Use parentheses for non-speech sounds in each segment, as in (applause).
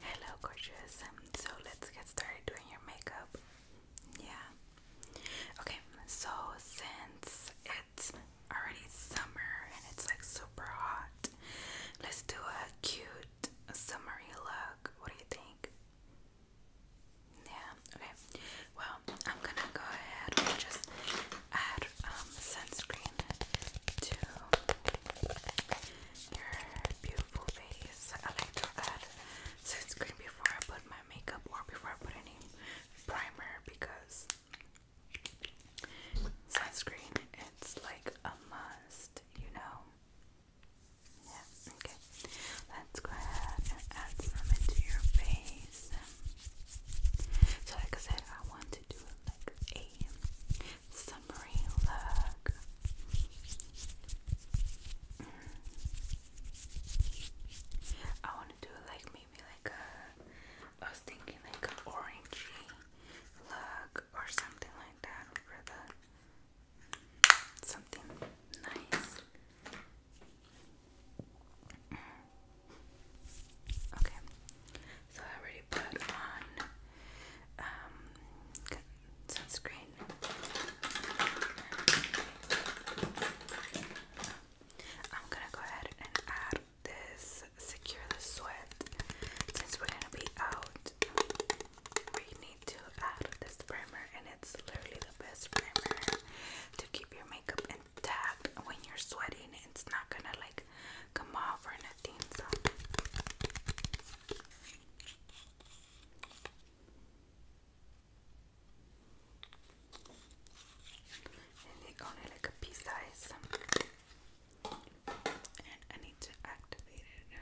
Hello, gorgeous. so let's get started doing your makeup. Yeah. Okay, so since it's already summer and it's like super hot, let's do a cute summery look. What do you think? Yeah, okay. Well, I'm gonna go ahead and just add um, sunscreen to your beautiful face. I like to add sunscreen before I put my makeup or before I put any primer because sunscreen it's like a must, you know. Yeah, okay. Let's go ahead and add some into your face. So like I said, I want to do like a summery look. Mm. I want to do like maybe like a, I was thinking like an orangey look or something like that for the, something nice. Okay, so I already put on um, sunscreen. I'm gonna go ahead and add this secure the sweat since we're gonna be out. We need to add this primer, and it's literally the best primer to keep your makeup get when you're sweating. It's not gonna like come off or nothing. So. only like a pea size. And I need to activate it.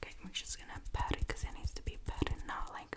Okay, I'm just gonna pat it because it needs to be patted, not like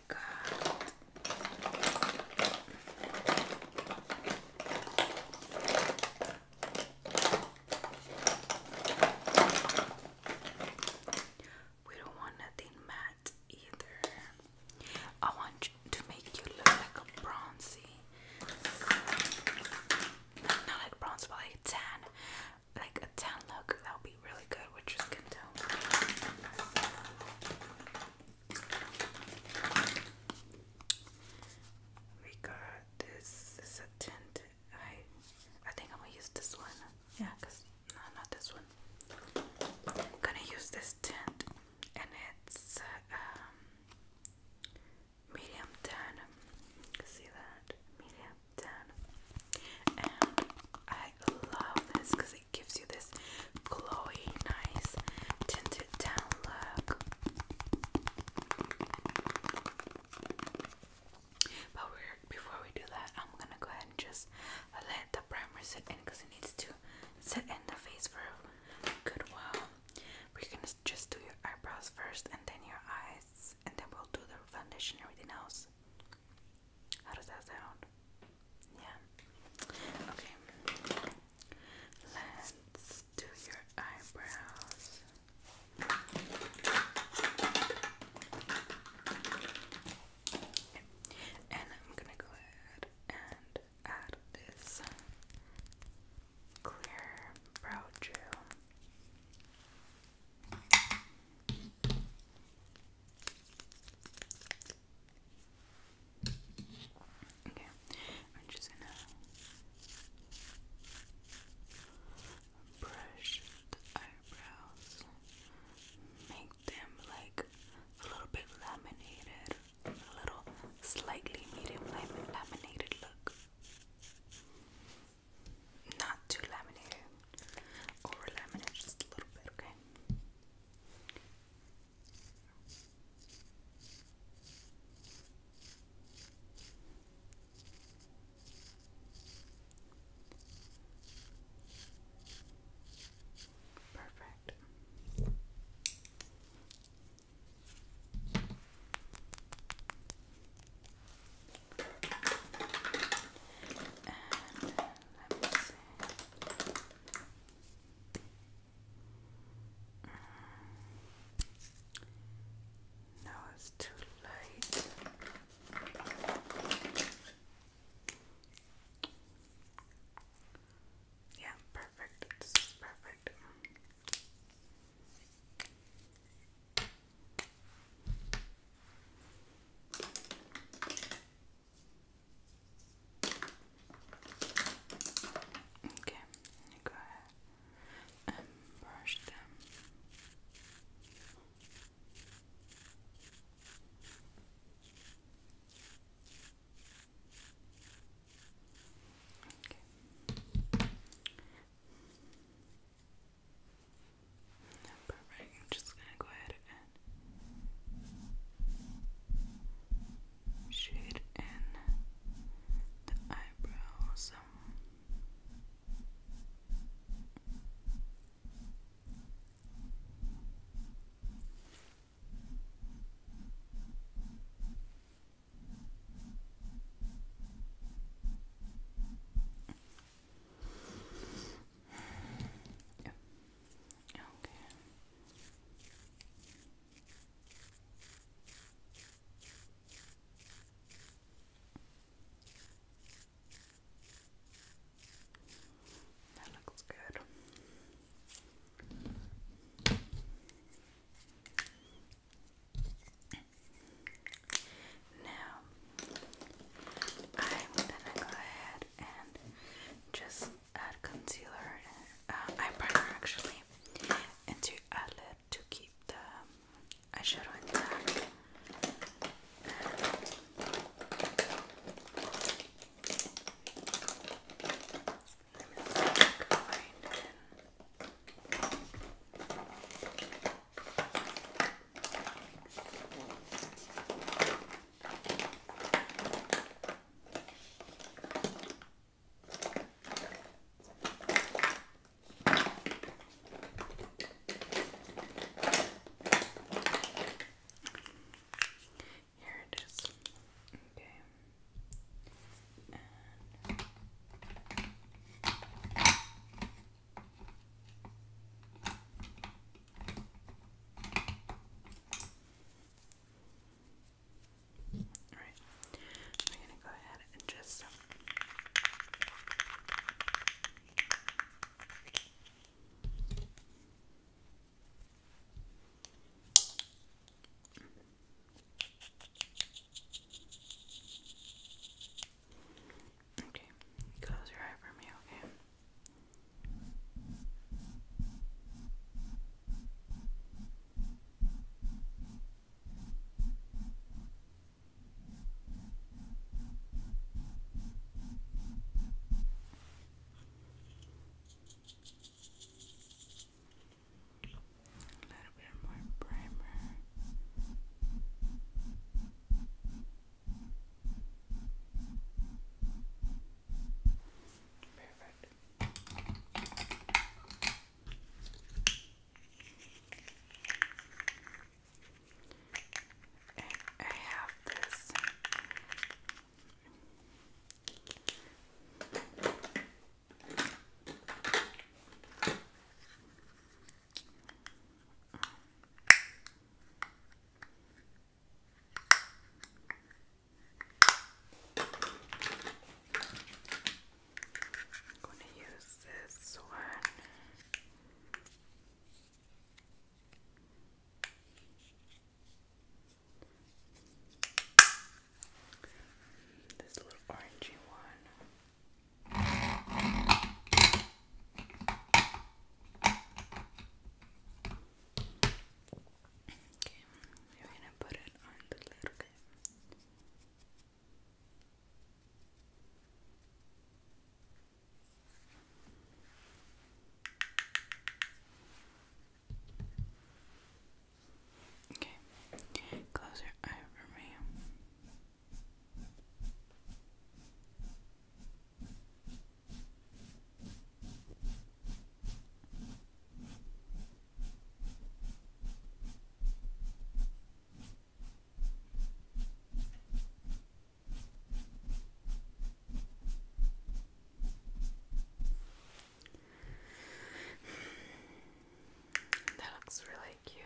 god. We don't want nothing matte either. I want to make you look like a bronzy. Not like bronze, but like tan. Like a tan look. That would be really good which is can tell. We got this. This is I I think I'm gonna use this one. Yeah, cause no, not this one. I'm gonna use this tint, and it's um medium tan. You see that medium tan. And I love this because gives you this glowy, nice tinted down look. But before we do that, I'm gonna go ahead and just let the primer sit in because it needs to sit in the face for a good while. We're gonna just do your eyebrows first and then your eyes, and then we'll do the foundation and everything else. How does that sound? Yeah. Okay. Let's do your eyebrows. And I'm gonna go ahead and add this clear brow gel. Okay, I'm just gonna brush the eyebrows, make them like a little bit laminated, a little slightly medium laminated look. Not too laminated, over laminated just a little bit, okay? Perfect. And let me see. it's too late. Yeah, perfect. This is perfect. Okay, go ahead and brush them. Okay. Perfect. I'm just gonna go ahead shade in the eyebrows. Yeah. Okay. That looks good. Now, I'm gonna go ahead and just add concealer and uh, eye primer actually and to eyelid to keep the eyeshadow intact. Here it is. Okay. And Okay. Alright, we're going to go ahead and just. Um, okay, close your eye for me, okay? A little bit more primer. Perfect. And I have this I'm going to use this one. This little orangey one. Okay, we're gonna put it on the little bit. Okay, close your eye for me. That looks really cute.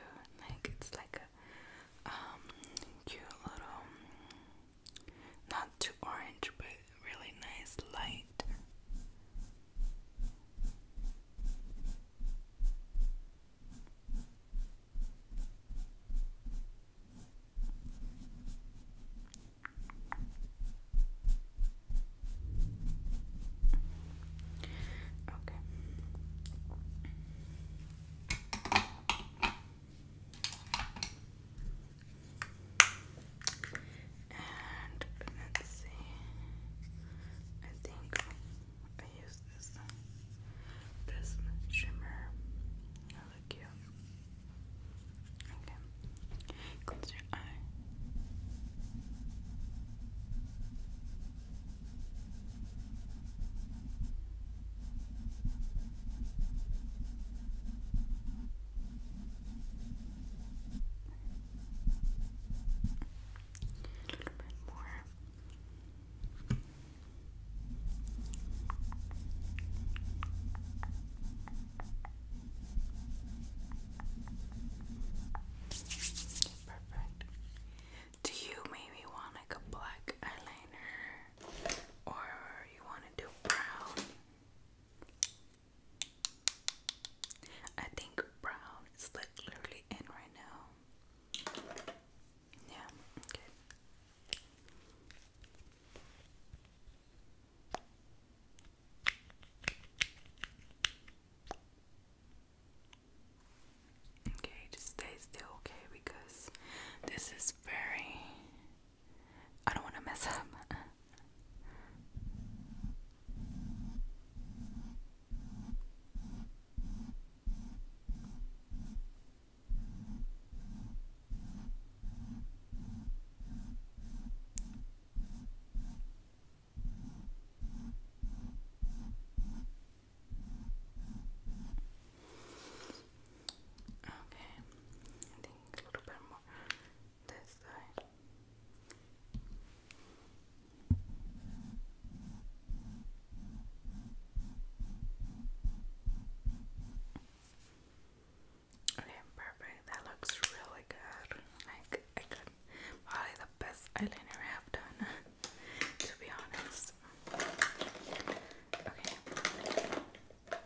Like it's like a um, cute little not too orange, but really nice light. Okay. And let I think I use this this shimmer. Oh, look cute. Okay. Close your eye. A Do you maybe want like a black eyeliner or you want to do brown? I think brown is like literally in right now. Yeah, okay. Okay, just stay still, okay? Because this is very I don't want to mess up. Okay, I a little bit more this side. Okay, perfect. That looks really good. Like I could probably the best eyeliner I have done, (laughs) to be honest. Okay. I'll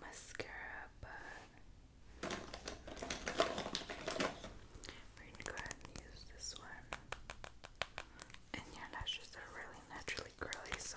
mascara, but we're gonna use this one. And your lashes are really naturally curly, so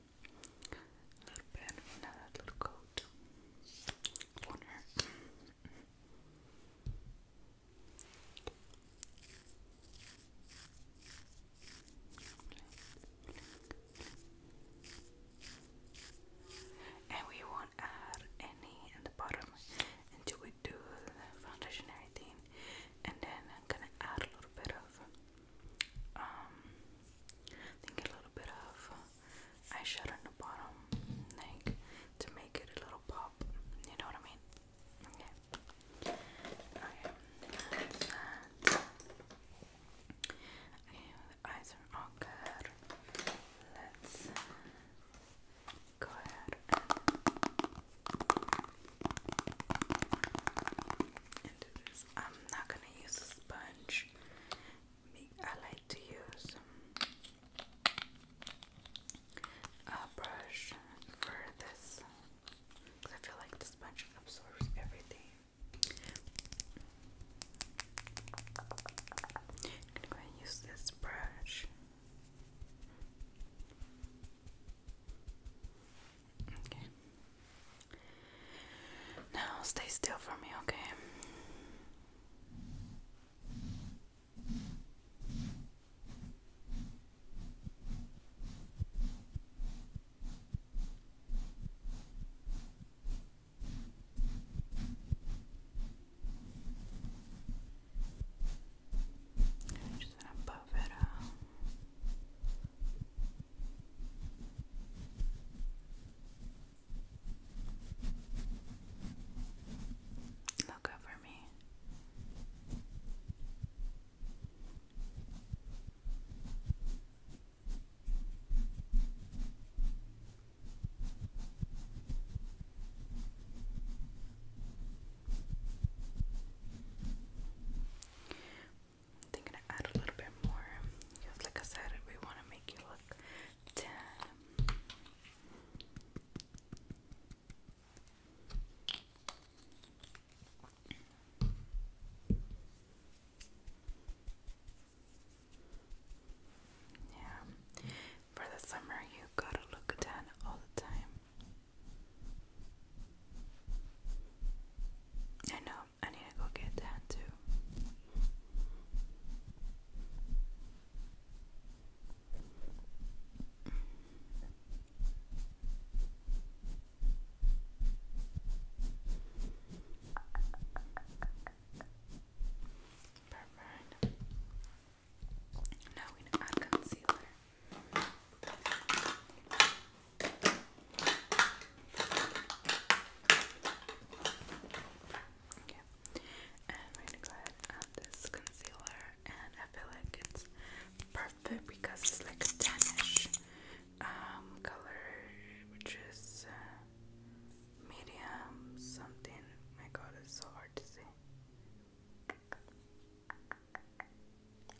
A little bit, another little coat on And we won't add any in the bottom until we do the foundationary thing. And then I'm gonna add a little bit of um think a little little bit of eyeshadow in the bottom, like to make it a little pop. You know what I mean? Okay. Okay. eyes are all good. Let's go ahead and do this. I'm not gonna use a sponge. I like to use a uh, brush for this because I feel like the sponge absorbs everything. I'm gonna use this brush. Okay. Now stay still for me, okay? just gonna buff it out. Look over me. I am gonna add a little bit more because, like I said, we want to make you look tan. Yeah, for the summer, you gotta look tan all the time. I know I need to go get that too. Now we add concealer. Okay. And I'm gonna go ahead and add this concealer and I feel like it's perfect because it's like a tannish um, color which is uh, medium something. My god it's so hard to see.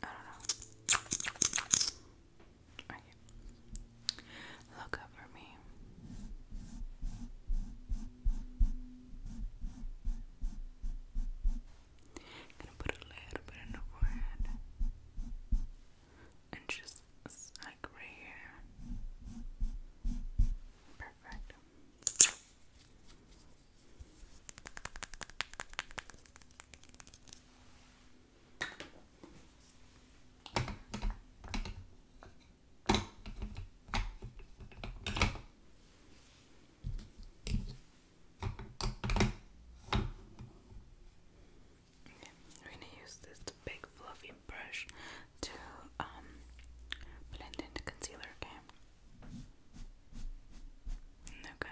I don't know. Okay. Look up me. Gonna put a little bit in the forehead. And just like right here. Perfect. I'm going to use this big fluffy brush to um, blend in the concealer, Okay.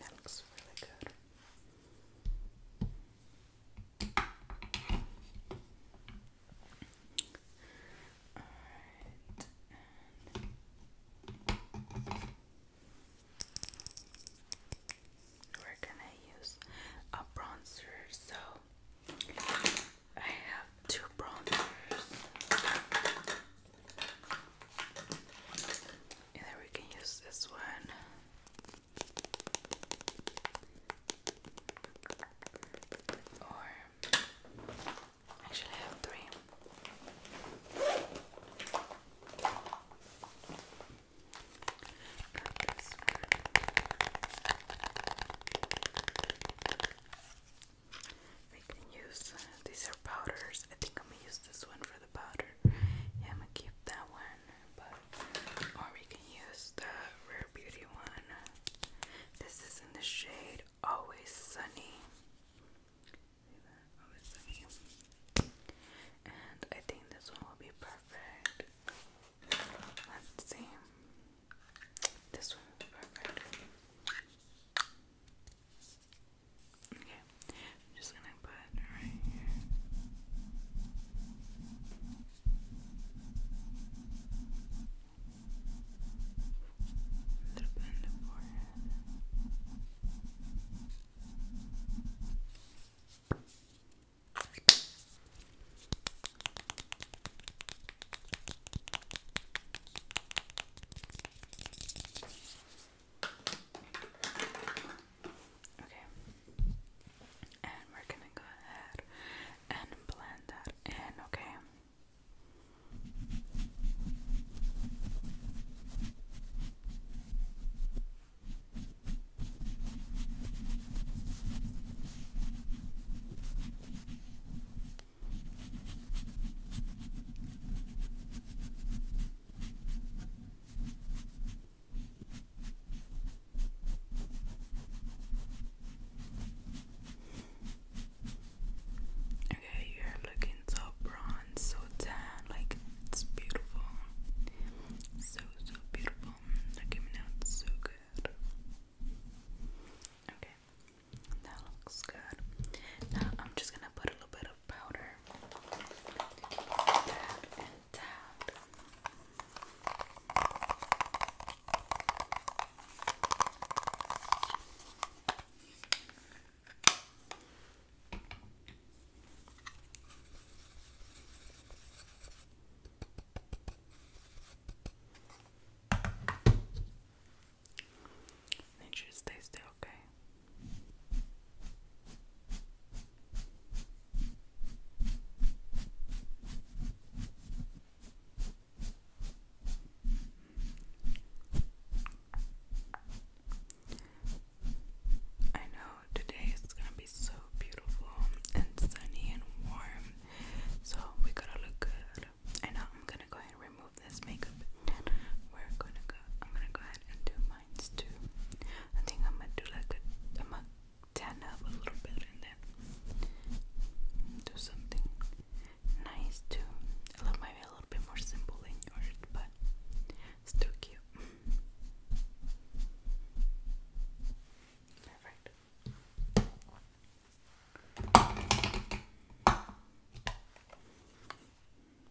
That looks really good. we're gonna use a bronzer. So I have two bronzers. And then we can use this one. Or actually have three. We can use uh, these are powders. I think I'm gonna use this one for the powder. Yeah, I'm gonna keep that one, or we can use the Rare Beauty one. This is in the shade Always Sunny. Always Sunny. And I think this one will be perfect. let This one will be perfect. Okay, I'm just gonna put it right here. little bit in forehead. Okay. And we're gonna go ahead and blend that in, okay? Okay, you're looking so bronze, so tan, like it's beautiful. So, so beautiful. Look at me now, so good. Okay, that looks good. Now I'm just gonna put a little bit of powder Make sure you stay still, okay? I know today is gonna be so beautiful and sunny and warm, so we gotta look good. And now I'm gonna go ahead and remove this makeup. And we're gonna go. I'm gonna go ahead and do mines too. I think I'm gonna do like a. I'm tan up a little bit and then do something nice too. A little maybe a little bit more simple than yours, but still cute. Perfect.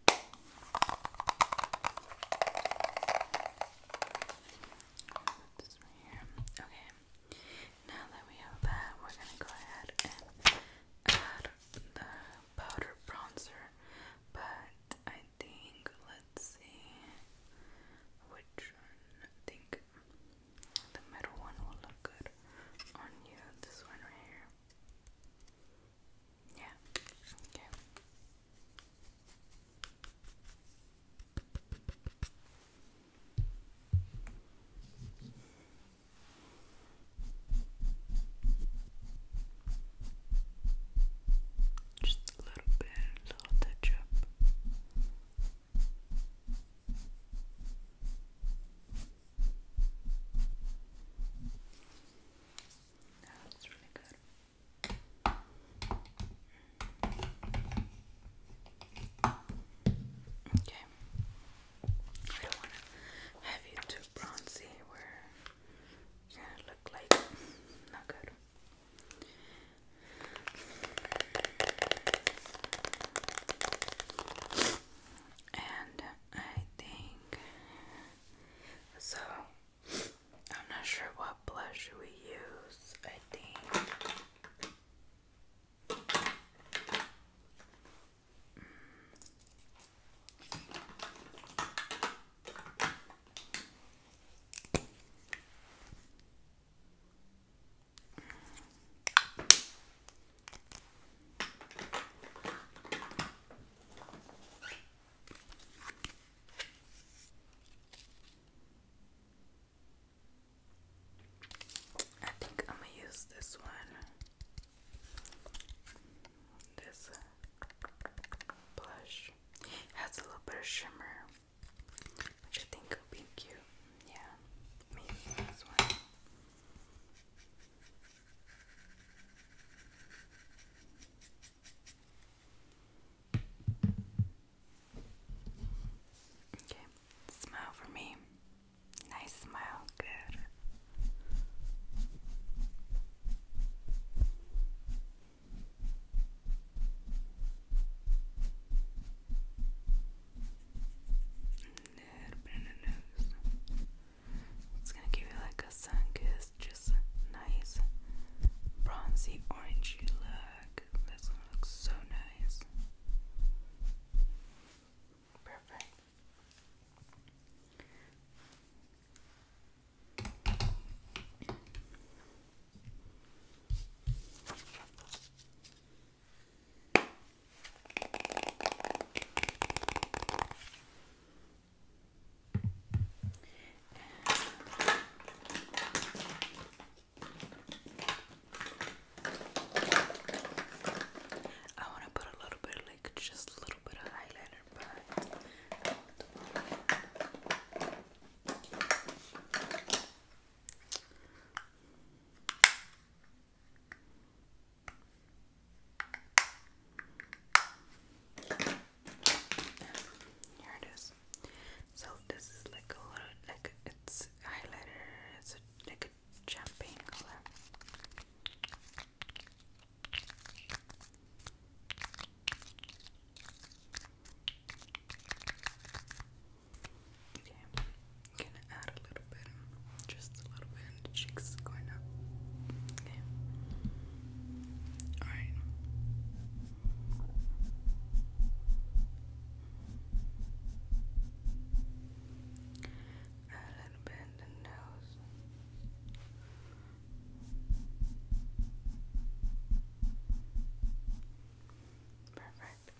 Put this right here. Okay. Now that we have that, we're gonna go ahead and add the powder bronzer. But I think let's see which one. I think the middle one will look good on you. This one right here. Yeah. Okay. Just a little bit, a little that looks really good. Okay. I don't want to have you too bronzy where are going to look like not good. And um, I think so. I'm not sure what blush we use. I think I think I'm gonna use this one. This blush has a little bit of shimmer, which I think would be cute. Yeah, maybe this Okay, smile for me. Nice smile, good. Little bit the nose. It's gonna give you like a sun kiss, just nice bronzy orangey look. That's gonna so nice. Perfect. I want to put a little bit, like just a little bit of highlighter, but here it is. So this is like a little like it's highlighter. It's like a champagne color. Okay, you add a little bit, just a little bit, and the cheeks is going up. Okay. All right. A little bit in the nose. Perfect.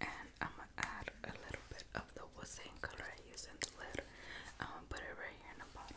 And I'm gonna add a little bit of the wood color I used in the lid. I'm um, gonna put it right here in the bottom.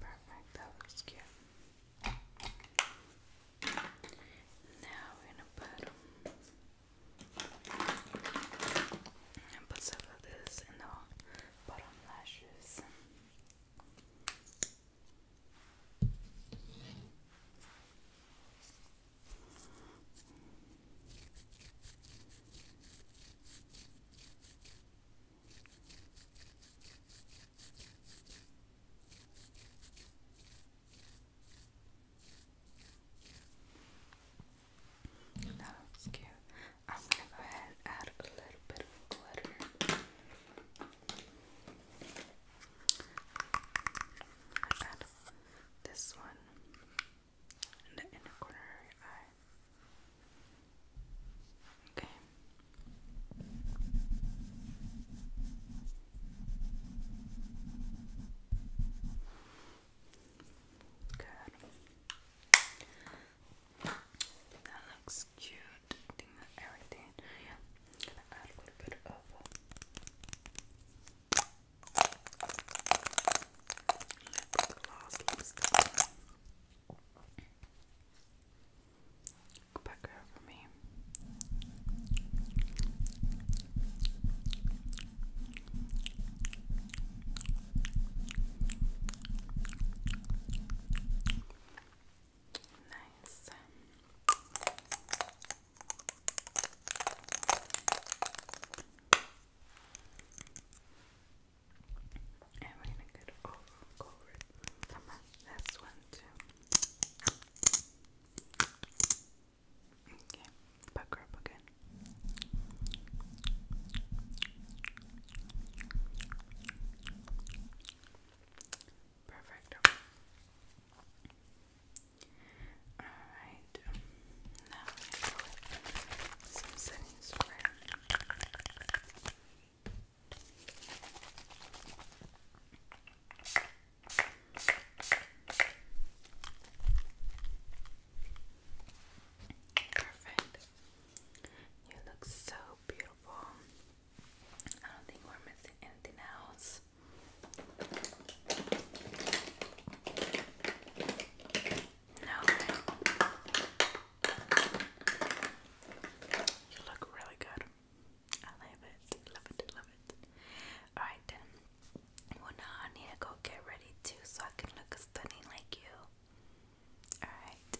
Perfect, that looks cute. Now we're gonna put and put some of this in the bottom lashes. That's cute. I'm gonna go ahead and add a little bit of glitter. Add this one in the inner corner of your eye. Okay. Good. That looks cute. everything. I'm gonna add a little bit of Lip gloss lipstick. Go back over me. Nice. And we're gonna get all over it. one too. Okay, back again. Perfect. Alright, now some setting spray. Perfect. You look so beautiful. I don't think we're missing anything else. No. You look really good. I love it. Love it. Love it. Alright then. Well now I need to go get ready too so I can look stunning like you. Alright.